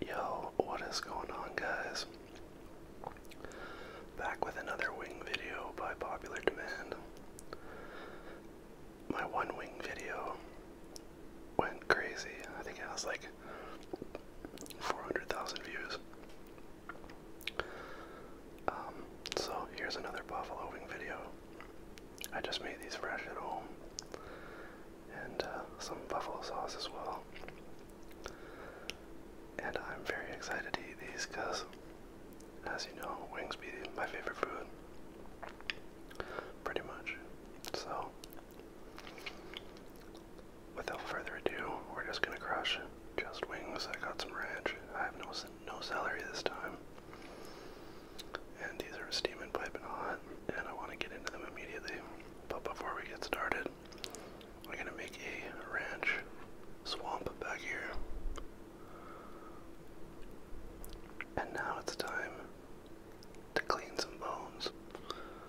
Yo, what is going on, guys? Back with another wing video by popular demand. My one wing video went crazy. I think it has like 400,000 views. Um, so here's another buffalo wing video. I just made these fresh at home, and uh, some buffalo sauce as well. And I'm very excited to eat these because, as you know, wings be my favorite food, pretty much. So without further ado, we're just gonna crush just wings. I got some ranch. I have no no celery this time, and these are steaming, piping hot, and I want to get into them immediately. But before we get started, we're gonna make a ranch swamp back here. And now it's time to clean some bones.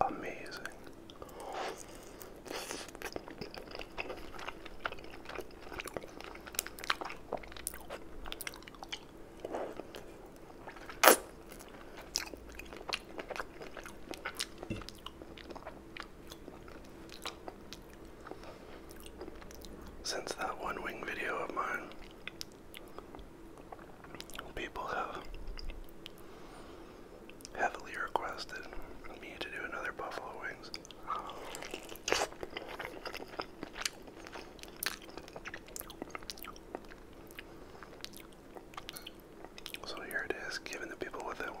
Amazing. Since that one wing video of mine, People have heavily requested me to do another buffalo wings. So here it is, giving the people what they want.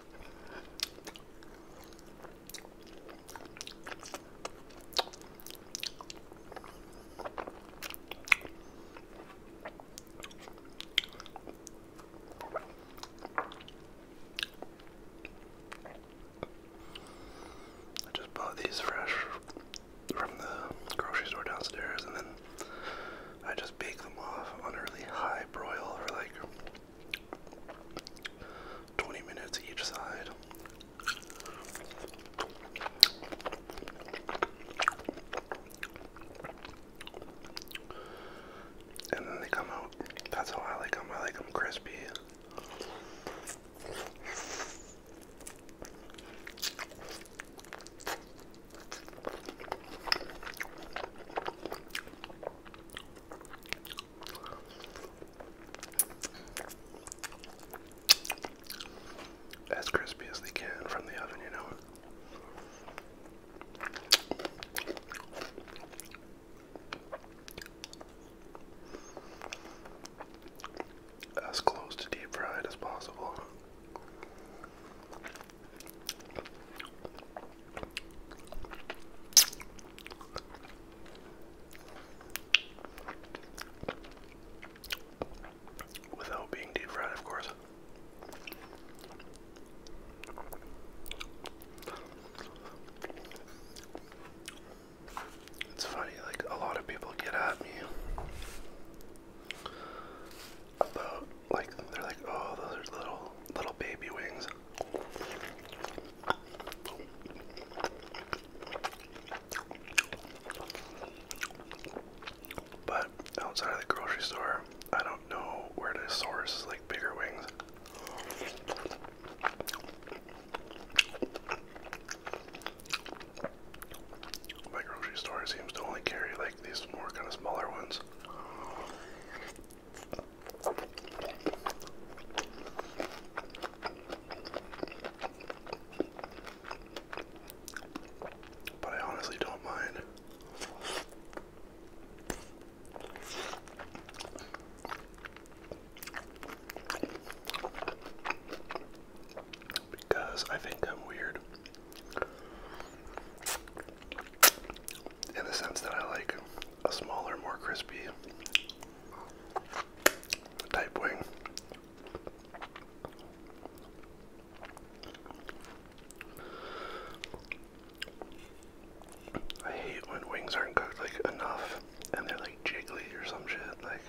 I just bought these fresh from the grocery store downstairs, and then I just bake them off on a really high broil for like 20 minutes each side. And then they come out. That's how I like them. I like them crispy. As crispy as they can from the oven, you know. As close to deep fried as possible. Without being deep fried, of course. It's funny, like, a lot of people get at me the like they're like, oh, those are little little baby wings. But outside of the grocery store, I don't know where to source like bigger wings. My grocery store seems to only carry like these more kind of smaller ones. But I honestly don't mind because I think I'm weird in the sense that I like a smaller, more crispy type wing. I hate when wings aren't cooked like enough and they're like jiggly or some shit like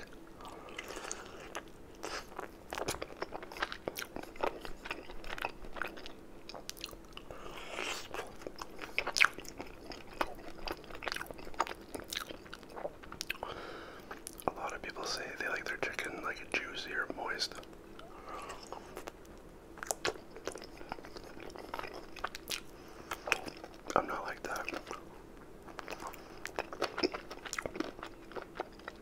a lot of people say they like their chicken like juicy or moist. I'm not like that.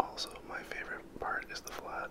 Also, my favorite part is the flat.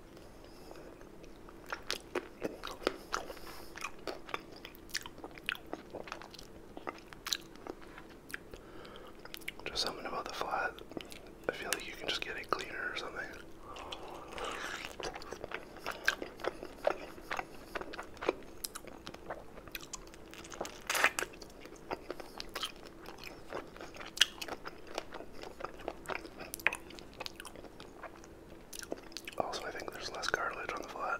Just something about the flat. I feel like you can just get it cleaner or something. Also, I think there's less cartilage on the flat.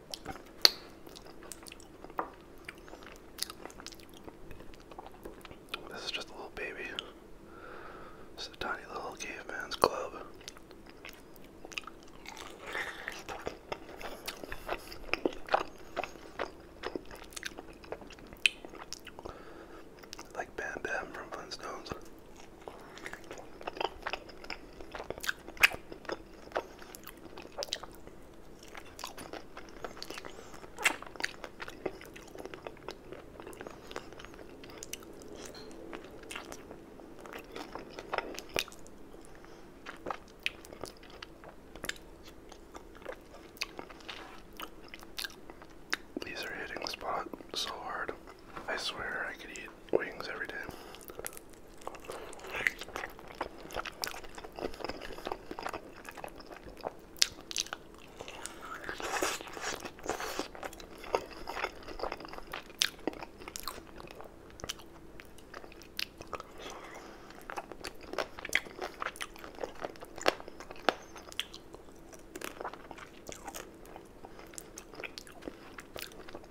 This is just a little baby. It's a tiny little caveman's club. Like Bam Bam from Flintstones. These are hitting the spot so hard. I swear I could eat wings every day.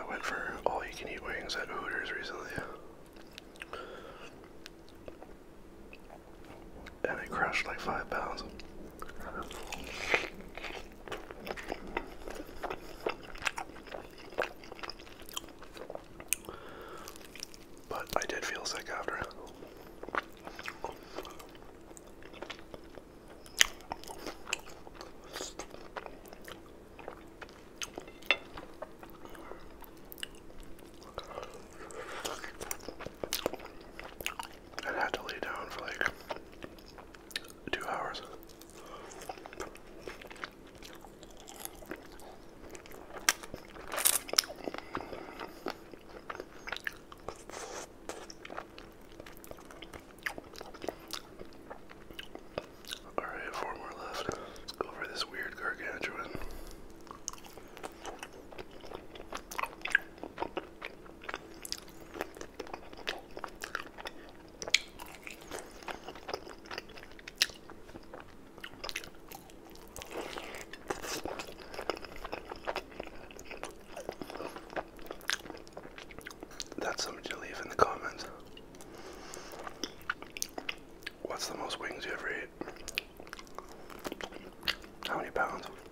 I went for all you can eat wings at Hooters recently. And I crushed like five pounds. But I did feel sick after and had to lay down for like two hours. Alright, four more left. Let's go for this weird gargantuan. That's something to leave in the comments. What's the most wings you ever ate? How many pounds?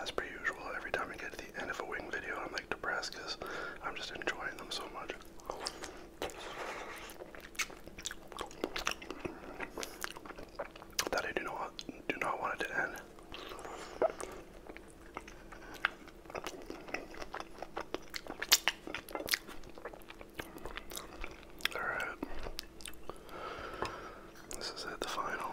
As per usual, every time I get to the end of a wing video, I'm like depressed because I'm just enjoying them so much that I do not do not want it to end. All right, this is it, the final.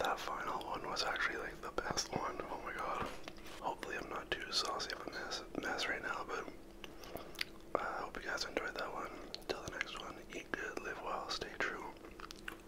That final one was actually like the best one. Oh my god. Hopefully, I'm not too saucy of a mess, mess right now, but I hope you guys enjoyed that one. Till the next one, eat good, live well, stay true.